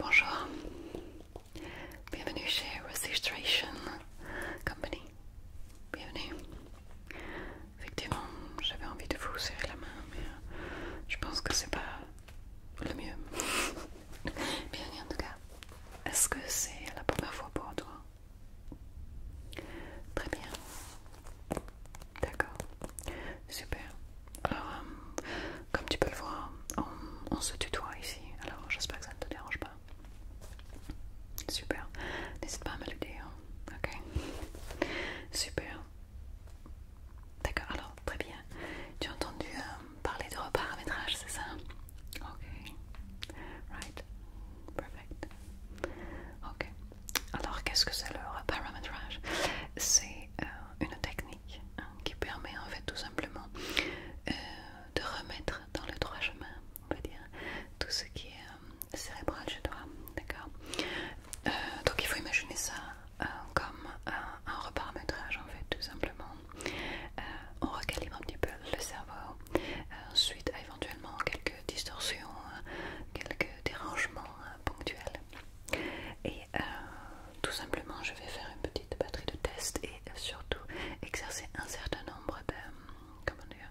Bonjour, bienvenue chez Registration Company. Bienvenue. Effectivement, j'avais envie de vous serrer la main, mais je pense que c'est pas le mieux. Bien en tout cas, est-ce que c'est la première fois pour toi Très bien. D'accord. Super. Alors, euh, comme tu peux le voir, on se tutoie ici. Alors, j'espère que ça ne te dérange pas. Super. N'hésite pas à me le dire. Ok Super. D'accord, alors très bien. Tu as entendu euh, parler de reparamétrage, c'est ça Ok. Right. Perfect. Ok. Alors qu'est-ce que c'est le reparamétrage C'est euh, une technique hein, qui permet en fait tout simplement euh, de remettre dans le droit chemin, on va dire, tout ce qui est cérébral chez toi. D'accord Donc il faut imaginer ça euh, comme euh, un reparamétrage en fait tout simplement. Euh, on recalibre un petit peu le cerveau suite à éventuellement quelques distorsions, quelques dérangements ponctuels. Et tout simplement je vais faire une petite batterie de tests et surtout exercer un certain nombre de... comment dire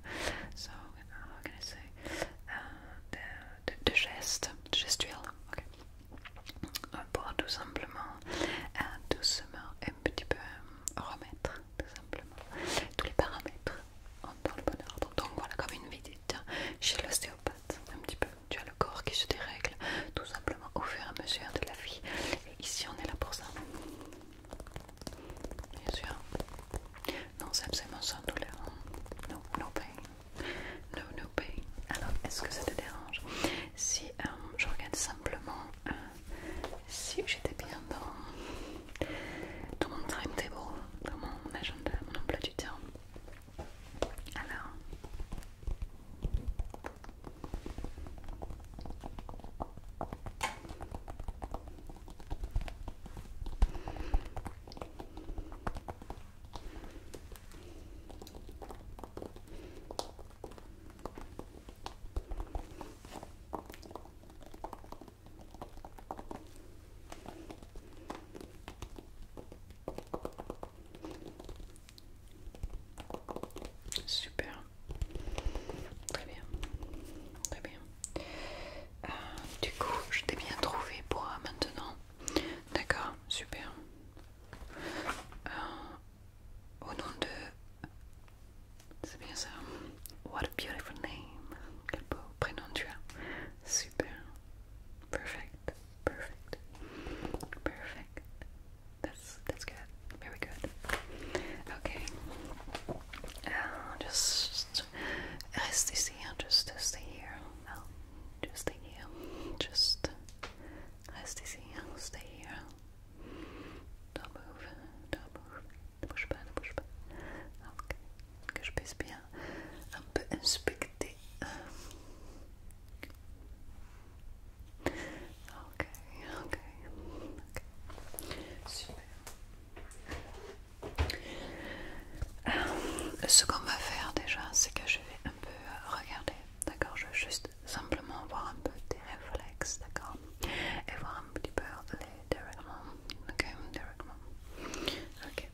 de, gestes, de gestuels. Euh, pour tout simplement euh, doucement un petit peu euh, remettre tout simplement tous les paramètres dans le bonheur Donc voilà comme une visite chez l'ostéopathe un petit peu. Tu as le corps qui se dérègle tout simplement au fur et à mesure de la vie. Et ici on est là pour ça. Bien sûr. Non, c'est absolument sans douleur. non hein. non pain. No, no pay Alors, est-ce que ça te dérange si euh, je regarde simplement euh, si j'étais bien dans, tout mon timetable, dans mon agenda, mon emploi du temps Alors. Super, très bien, très bien. Euh, du coup, je t'ai bien trouvé pour euh, maintenant. D'accord, super. Uh, au nom de... C'est bien ça. What a beautiful name. Quel beau prénom tu as. Super. Perfect. Perfect. Perfect. That's that's good. Very good. Okay. Uh, just rest ici. Just stay here. I'll just stay here. Just Reste ici, stay here. Don't move, don't move. Ne bouge pas, ne bouge pas. Ok. Que je puisse bien un peu inspecter. Ok, ok, ok. Super. Ah, ce qu'on va faire déjà, c'est que je vais un euh, regarder, d'accord Je veux juste simplement voir un peu tes réflexes, d'accord Et voir un petit peu les directement, ok Directement, ok.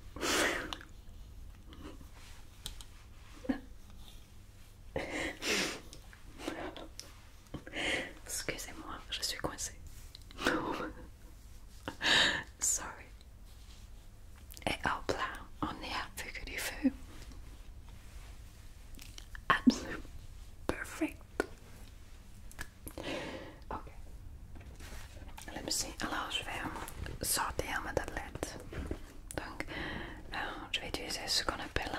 Excusez-moi, je suis coincée. Sorry. Et hop là, on est à feu du feu. Absolument parfait. Ok. Let see. Alors, je vais um, sortir ma tablette. Donc, euh, je vais utiliser ce qu'on appelle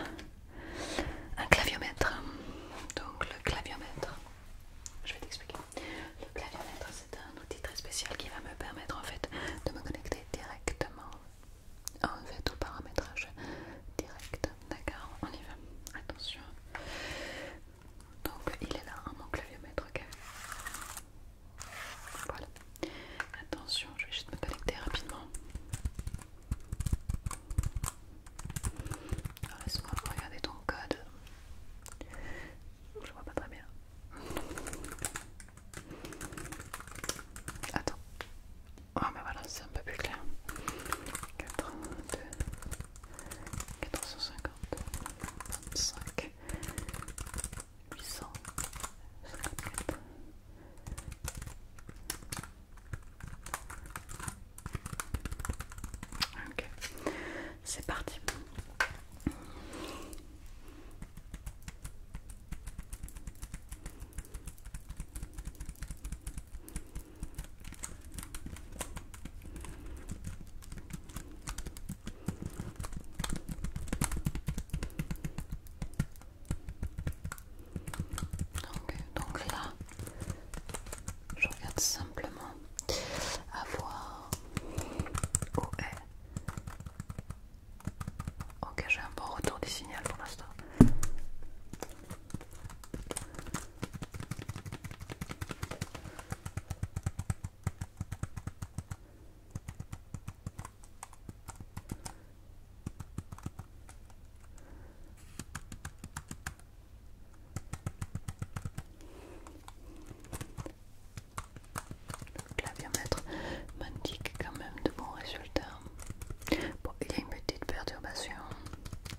un claviomètre. Donc, le claviomètre, je vais t'expliquer. Le claviomètre, c'est un un outil très spécial qui va me permettre en fait de me connecter directement en fait au paramétrage direct. D'accord, on y va. Attention. Donc il est là, mon claviomètre, ok. Voilà. Attention, je vais juste me connecter rapidement. Alors ah, laisse-moi regarder ton code. Je vois pas très bien. Attends. Ah, oh, mais voilà, c'est un peu plus clair. 82, 450, 25, 800, 54. Ok, c'est parti. Donc, donc là, je regarde simplement avoir où est Ok, j'ai un bon retour du signal pour l'instant. Le claviomètre m'indique quand même de bons résultats. Bon, il y a une petite perturbation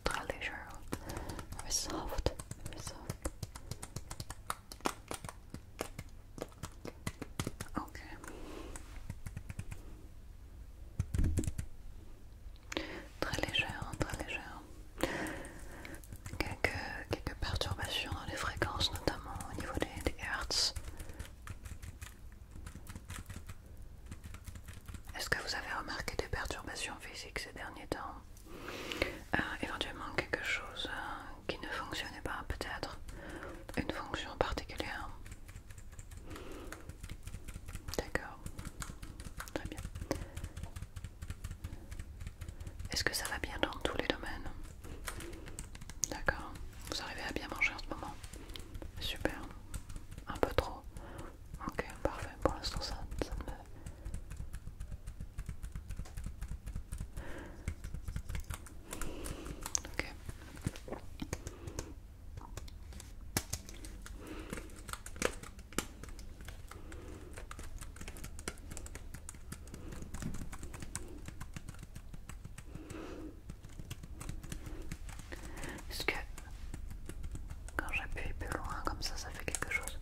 très légère, mais soft, soft. Ok. Très légère, très légère quelques, perturbations dans les fréquences, notamment au niveau des, hertz. Est-ce que vous avez remarqué des perturbations physiques ces derniers temps euh, Éventuellement quelque chose euh, qui ne fonctionnait pas, peut-être une fonction particulière D'accord, très bien. Est-ce que ça va bien dans tous les domaines D'accord. Vous arrivez à bien manger en ce moment Super. Un peu trop. Ok, parfait. Pour l'instant, ça, me... Est-ce que quand j'appuie plus loin comme ça, ça fait quelque chose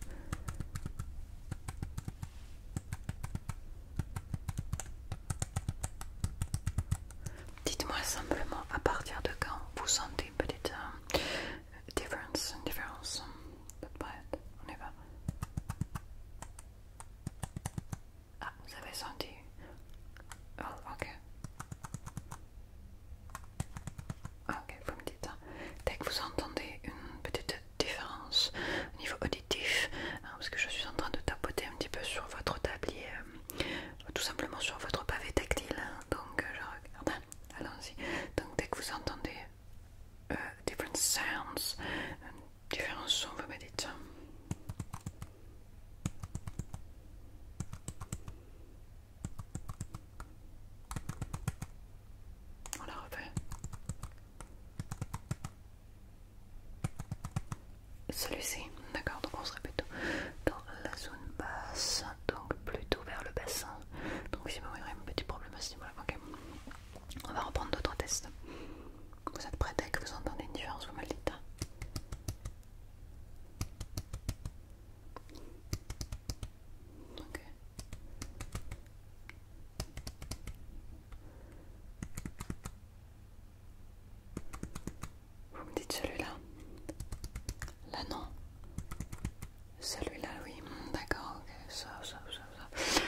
Dites-moi simplement à partir de quand vous sentez une petite différence, on y va. Ah, vous avez senti oh, ok. Ah, ok, vous me dites. Hein. Dès que vous entendez une petite différence au niveau auditif, hein, parce que je suis en train de tapoter un petit peu sur votre tablier, euh, tout simplement sur votre pavé tactile. Hein, donc, euh, je regarde. Allons-y. Donc, dès que vous entendez euh, different sounds, différents sons, vous me dites. On la refait. Celui-ci, d'accord, donc on serait plutôt dans la zone basse, donc plutôt vers le bassin. Donc si vous voyez un petit problème à ce niveau ok. On va reprendre d'autres tests. Vous êtes prêts dès que vous entendez une différence, vous me dites. Hein. Ok. Vous me dites celui-là Là non Celui-là oui, hmm, d'accord, ok, ça, ça. Euh,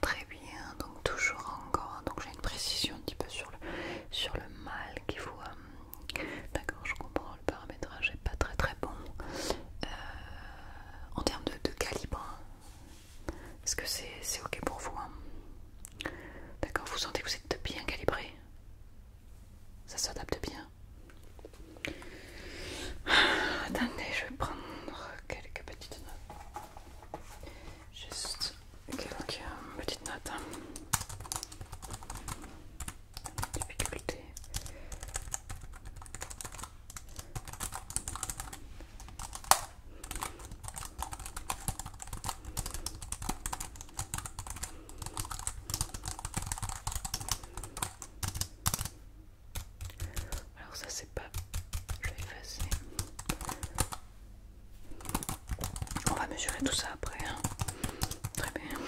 très bien, donc toujours encore. Donc j'ai une précision un petit peu sur le, sur le mal qu'il vous. Euh, d'accord, je comprends, le paramétrage est pas très très bon. Euh, en termes de, calibre, hein, est-ce que c'est ok pour vous hein D'accord, vous sentez que vous êtes bien calibré Ça s'adapte bien Attendez, je vais prendre quelques petites notes. Juste quelques petites notes. Hein. Difficulté. Alors ça c'est pas... Je vais effacer. On va mesurer tout ça après. Hein. Très bien.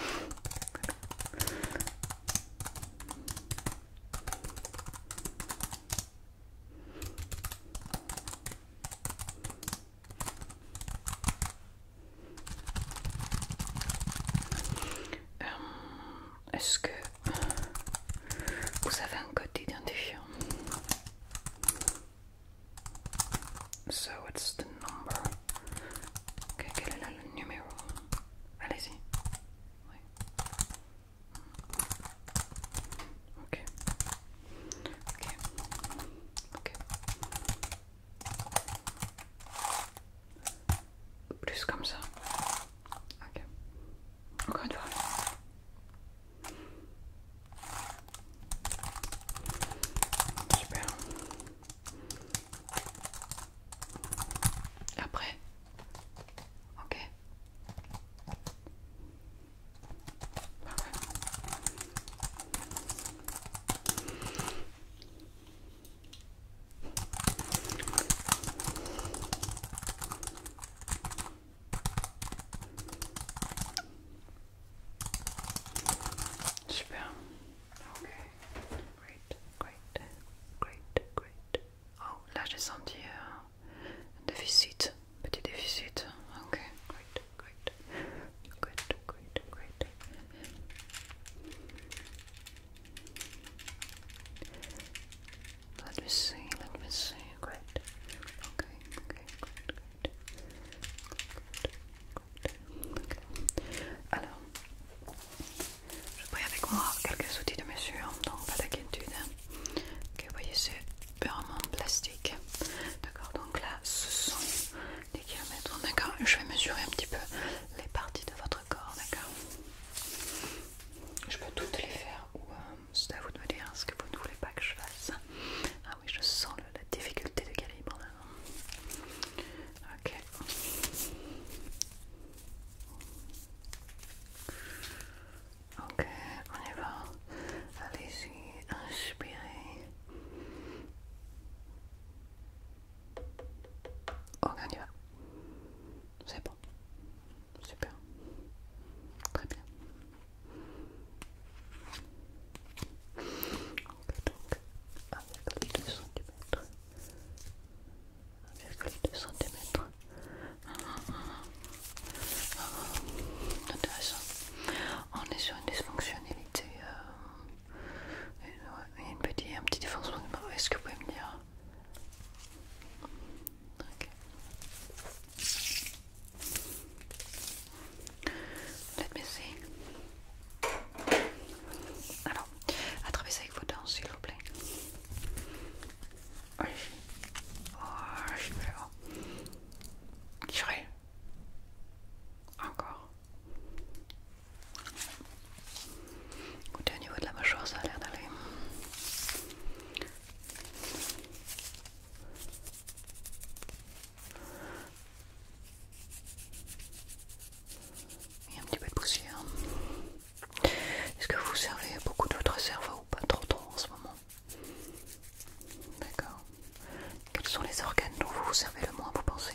Euh, est-ce que vous avez un code d'identifiant. So what's the number? Okay, quel est là, le numéro? Allez-y. Ok. Ok. Ok. Plus comme ça. Ok. Encore une fois. Super. Après. Ok. Parfait. Super. Okay. Great, great, great, great. Oh, là j'ai senti euh, un déficit, petit déficit. Ok, great, great, great, great, great. Let me see, Alors, je prends avec moi quelques outils de mesure, donc pas d'inquiétude. Hein. Ok, vous voyez, c'est purement plastique. D'accord, donc là, ce sont des kilomètres. D'accord, je vais mesurer un petit peu les parties de votre corps. D'accord. Je peux toutes les faire ou euh, c'est à vous de me dire ce que vous ne voulez pas que je fasse. Ah oui, je sens la difficulté de calibre Ok. Ok, on y va. Allez-y, inspirez. Ok, on y va. C'est bon. Super. Très bien. Ok, donc 1,2 cm. 1,2 cm. intéressant. On est sur une dysfonctionnalité. Il y a une petite, un petit défoncement Est-ce que vous pouvez me dire OK. Let me see. Alors, attrapez ça avec vos dents, s'il vous plaît. Oui. Oh, je vais Je Tirez. Encore. Écoutez, au niveau de la mâchoire, ça a l'air d'aller. Il y a un petit peu de poussière. Est-ce que vous servez beaucoup de votre cerveau ou pas trop trop en ce moment D'accord. Quels sont les organes dont vous vous servez le moins, vous pensez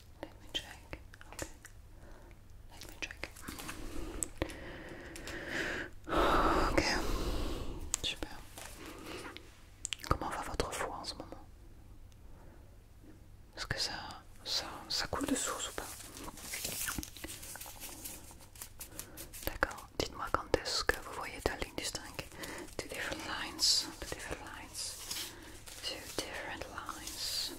Let me check. Okay. Let me check. Ok. Super. Comment va votre foie en ce moment Est-ce que ça, ça, ça coule de source ou pas D'accord. Dites-moi quand est-ce que vous voyez ta ligne distincte Two different lines. Two different lines. Two different lines.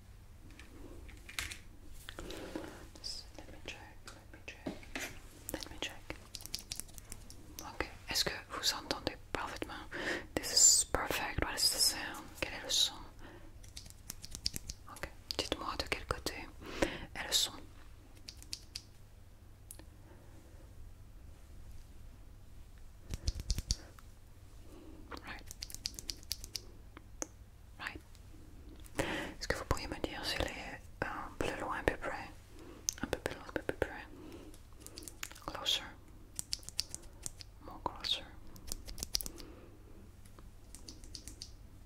let me check, let me check, let me check. Ok, est-ce que vous entendez parfaitement? This is perfect, what is the sound? Quel est le Ok, dites-moi de quel côté est le son. Right. Right. Est-ce que vous pourriez me dire s'il est un euh, peu loin, un peu près Un peu plus loin, un peu plus près Closer. More closer.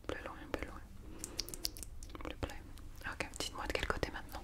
Plus loin, plus loin. Plus près. Ok, dites-moi de quel côté maintenant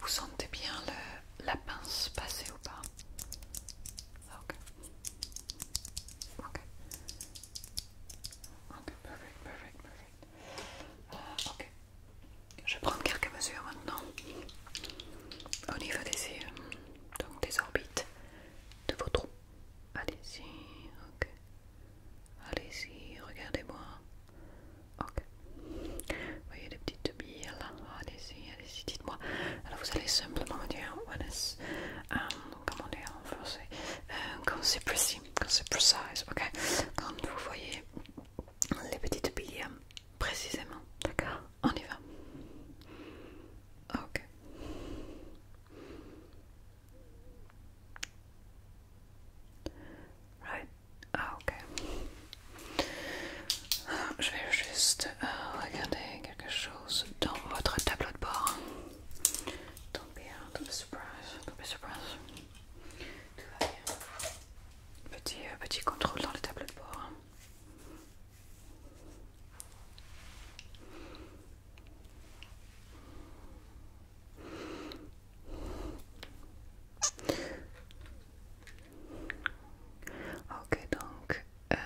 Vous sentez bien le, la pince passer ou pas Ok. Ok. Ok, perfect, perfect, perfect. Euh, ok. Je vais prendre quelques mesures maintenant au niveau des donc des orbites de vos trous. Allez-y, ok. Allez-y, regardez-moi. Ok. Vous voyez les petites billes là Allez-y, allez-y, dites-moi. Alors vous allez simplement me dire, euh, comment en français euh, Quand c'est précis, quand c'est precise, ok Quand vous voyez les petites billes précisément, d'accord On y va. Ok. Right? Ah, ok. Je vais juste euh, regarder quelque chose dans votre tableau de bord. Don't be, don't be surprised. Don't be surprised. Tout va bien. Petit, euh, petit contrôle dans le tableau de bord. Ok, donc, euh,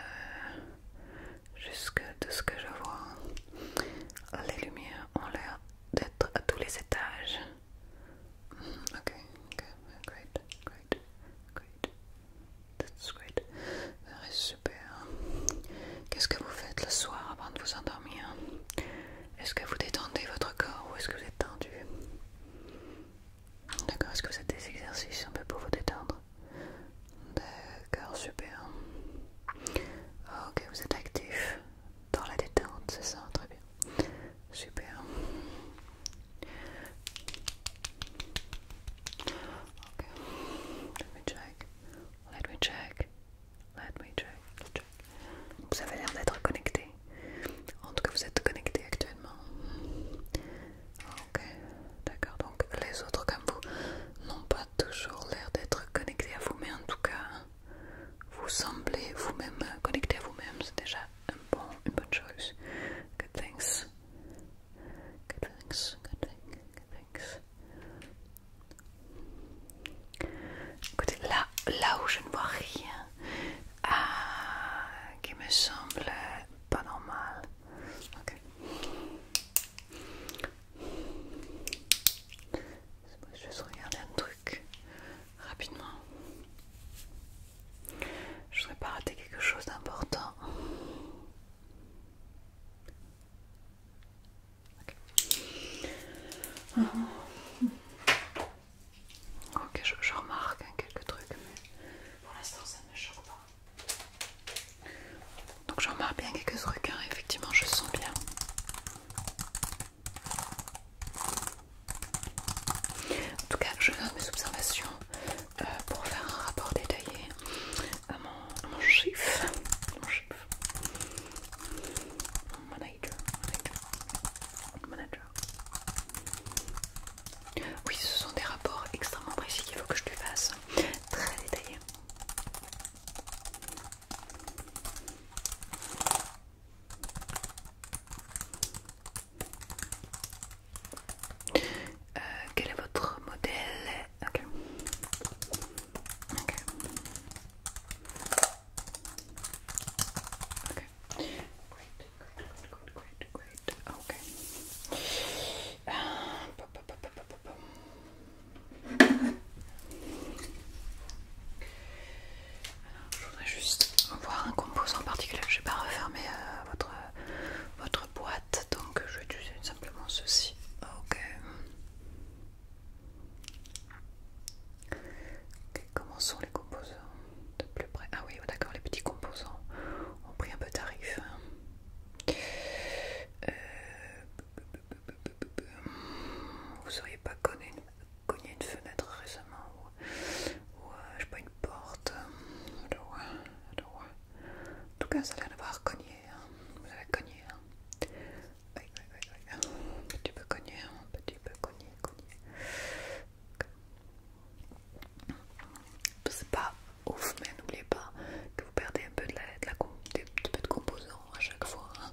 jusque de ce que je vois, les lumières ont l'air d'être à tous les étages. Mm, ok, great, great, great. That's great. super. Qu'est-ce que vous faites le soir avant de vous endormir Est-ce que vous détendez votre corps ou est-ce que vous êtes tendu D'accord, est-ce que vous faites des exercices un peu pour vous détendre D'accord, super. Ok, vous êtes actif dans la détente, c'est ça Très bien. Super. Ok, Let me check. Let me check. Let me Vous avez l'air d'être connecté. En tout cas, vous êtes connecté actuellement. Ok, d'accord. Donc, les autres comme vous n'ont pas toujours l'air d'être connectés à vous, mais en tout cas, vous semblez vous-même connecté à vous-même. C'est déjà un bon, une bonne chose. Good things. Good things. Good Good thing là, là où je ne vois rien ah, qui me semble pas normal. Je vais juste regarder un truc rapidement. Je ne voudrais pas rater quelque chose d'important. Ok, je, remarque hein, quelques trucs, mais pour l'instant ça ne me choque pas. Donc je remarque bien quelques trucs, hein. effectivement je sens bien. En tout cas, je note mes observations euh, pour faire un rapport détaillé à mon, chiffre, Manager, manager, Oui, ce sont des rapports extrêmement précis qu'il faut que je lui fasse, très détaillés. Euh, quel est votre modèle Ok, ok, ok OK. Great, great, great, great, great. Alors, je voudrais juste voir un composant particulier. Je vais pas refermer euh, votre, votre boîte, donc je vais utiliser simplement ceci. Ok. Ok, comment sont les composants de plus près Ah oui, oh, d'accord, les petits composants ont pris un peu tarif. Hein. Euh, vous auriez pas cogné une, fenêtre récemment ou, euh, je sais pas une porte. En tout cas, ça a d'avoir cogné Hein. vous avez cogné, hein oui, oui, oui, un petit peu cogné, hein, un petit peu cogné, cogné. C'est pas ouf, mais n'oubliez pas que vous perdez un peu de, la, de, peu de composants à chaque fois. Hein.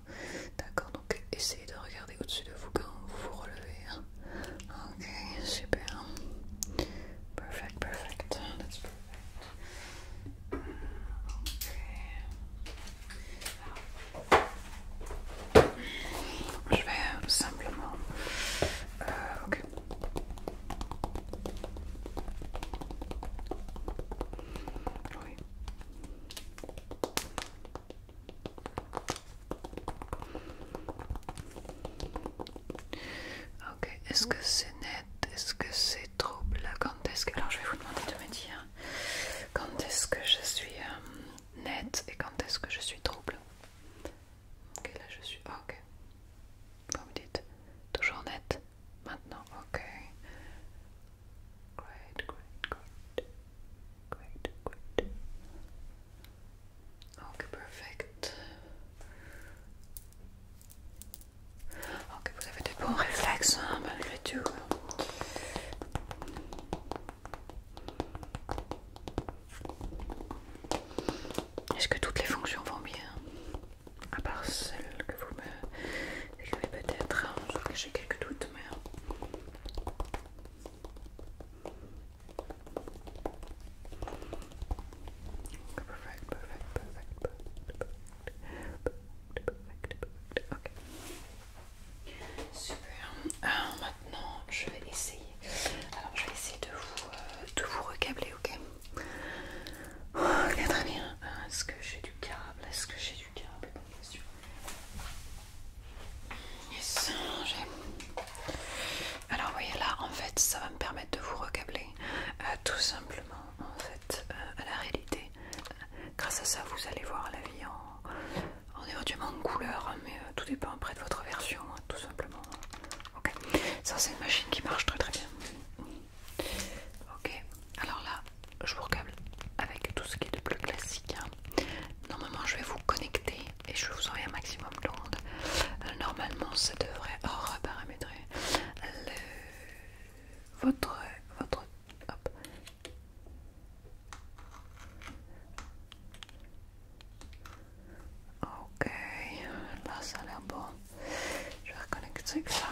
D'accord Donc essayez de regarder au-dessus de vous quand vous vous relevez. ok, super. Perfect, perfect. That's perfect. Okay. Je vais simplement... ok. Ok, est-ce que c'est net Est-ce que c'est trouble quand est-ce que... Alors je vais vous demander de me dire quand est-ce que je suis net euh, nette et quand est-ce que je suis trouble. Ok, là je suis... Ah, ok. Vous dites toujours net maintenant. Ok. Great, great, great. Great, great. Ok, perfect. Ok, vous avez des bons réflexes hein, malgré tout. Est-ce que toutes les fonctions vont bien À part celle que vous me décrivez peut-être, hein, que j'ai quelques doutes, mais... Super. Alors maintenant, je vais essayer. Alors, je vais essayer de vous, euh, de recabler, ok Très bien. Est-ce que j'ai du câble Est-ce que j'ai du câble Yes, j'ai. Alors, vous voyez là, en fait, ça va me permettre de vous recabler euh, tout simplement en fait euh, à la réalité. Grâce à ça, vous allez voir la vie en, en éventuellement en couleur, mais euh, tout dépend près de votre version, hein, tout simplement. Ok, ça c'est une machine qui marche très très bien. Ok, alors là, je vous recable avec tout ce qui est de plus classique. Hein. Normalement, je vais vous connecter et je vous envoyer un maximum de euh, Normalement, ça devrait oh, reparamétrer le votre, votre hop. Ok, là ça a l'air bon. Je vais reconnecter ça.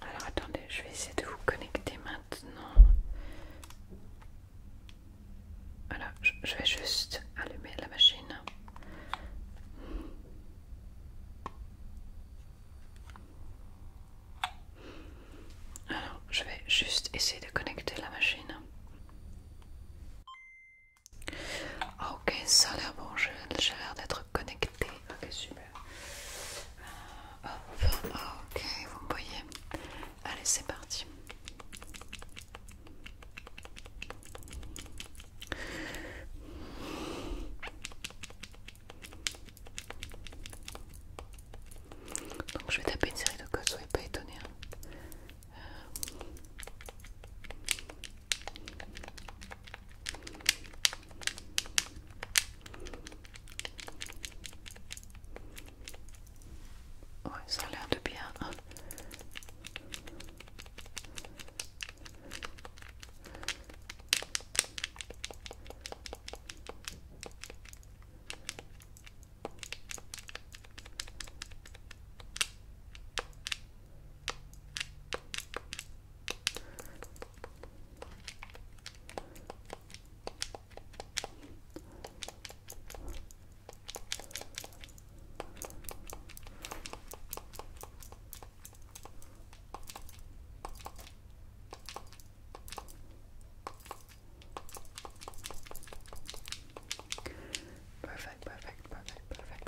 Alors attendez, je vais essayer de vous connecter maintenant. Voilà, je vais juste allumer la machine. Alors, je vais juste essayer de connecter la machine. Ah, ok, ça a l'air bon, j'ai l'air d'être connecté. Ok, super. Euh, ah, ok, vous me voyez. Allez, c'est parti. Donc je vais taper une série de codes, soyez pas étonnés. Hein. Euh ça a l'air de bien. Hein. Perfect, perfect, perfect, perfect,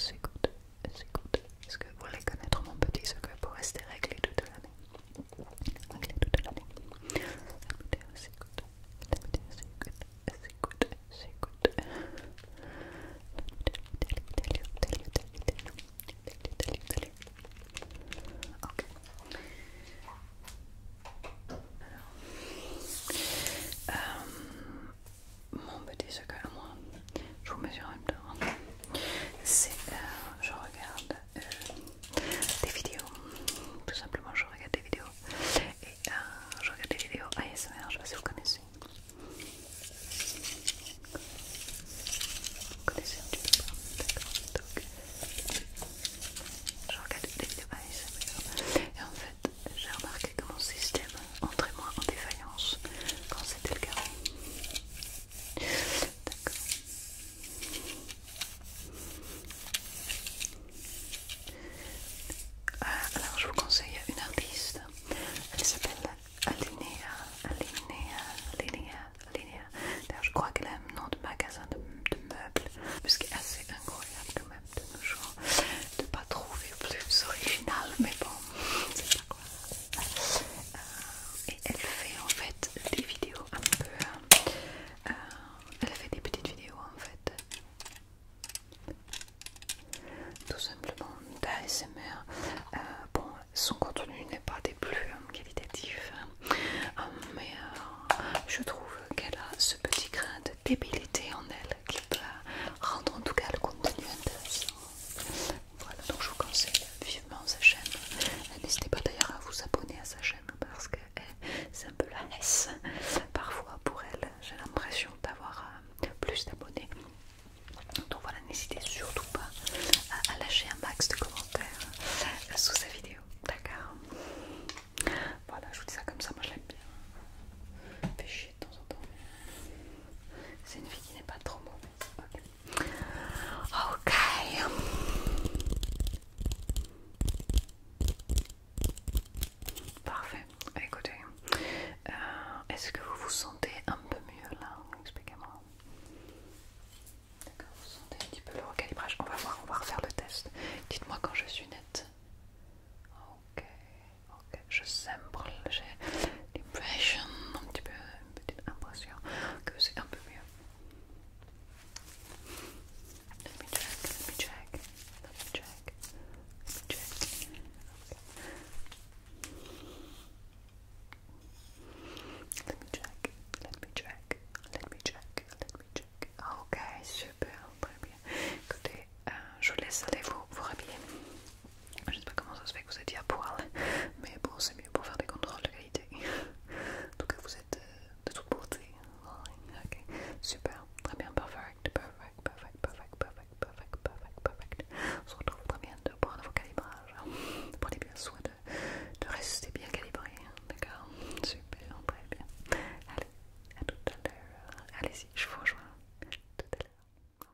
you Est-ce que vous voulez connaître mon petit secret pour rester réglé toute la c'est c'est C'est C'est mon petit sac à moi, je vous mesure un hein c'est euh, je regarde euh, des vidéos, tout simplement je regarde des vidéos et euh, je regarde des vidéos ASMR, je sais pas si vous connaissez. Vous connaissez un petit peu donc je regarde des vidéos ASMR et en fait j'ai remarqué que mon système entrait moins en défaillance quand c'était le cas alors je vous conseille une artiste, elle s'appelle Alinea, Alinea, Alinea, Alinea. D'ailleurs je crois qu'elle aime un nom de magasin de, meubles, ce qui est assez incroyable quand même de nos jours, de pas trouver plus original, mais bon, c'est pas grave et elle fait en fait des vidéos un peu euh, euh, elle fait des petites vidéos en fait tout simplement d'ASMR euh, bon son contenu n'est pas des plus qualitatifs hein. mais je trouve qu'elle a ce petit grain de débilité en elle qui va rendre en tout cas le contenu intéressant donc je vous conseille vivement sa chaîne. N'hésitez pas d'ailleurs à vous abonner à sa chaîne parce que eh, c'est un peu la laisse parfois pour elle. J'ai l'impression d'avoir euh, plus d'abonnés. Donc voilà, n'hésitez surtout pas à lâcher un max de commentaires sous sa vidéo. D'accord Voilà, je vous dis ça comme ça, moi je l'aime bien. Fait chier de temps en temps. C'est une fille qui n'est pas trop mauvaise. Ok, Parfait. Écoutez, euh, est-ce que vous vous sentez un peu mieux là Expliquez-moi. D'accord, vous sentez un petit peu le recalibrage. On va voir, on va refaire le test. Dites-moi quand je suis nette. Ok, ok, je semble, j'ai l'impression un petit peu une petite impression que c'est un peu mieux. Let me check, let me check, let me check, let me check. Let me check, let me check, let me check, let me check. okay super, très bien. Écoutez, euh, je vous laisse aller vous, vous habiller je sais pas comment ça se fait que vous étiez à poil, mais bon, c'est mieux pour faire des contrôles de qualité. Donc vous êtes euh, de toute beauté. Ok, super, très bien, perfect, perfect, perfect, perfect, perfect, perfect, perfect, On se retrouve très bien pour un nouveau calibrage. Prenez bien soin de, rester bien calibré, d'accord Super, très bien. Allez, à tout à l'heure. Allez-y, je vous rejoins. Tout à l'heure.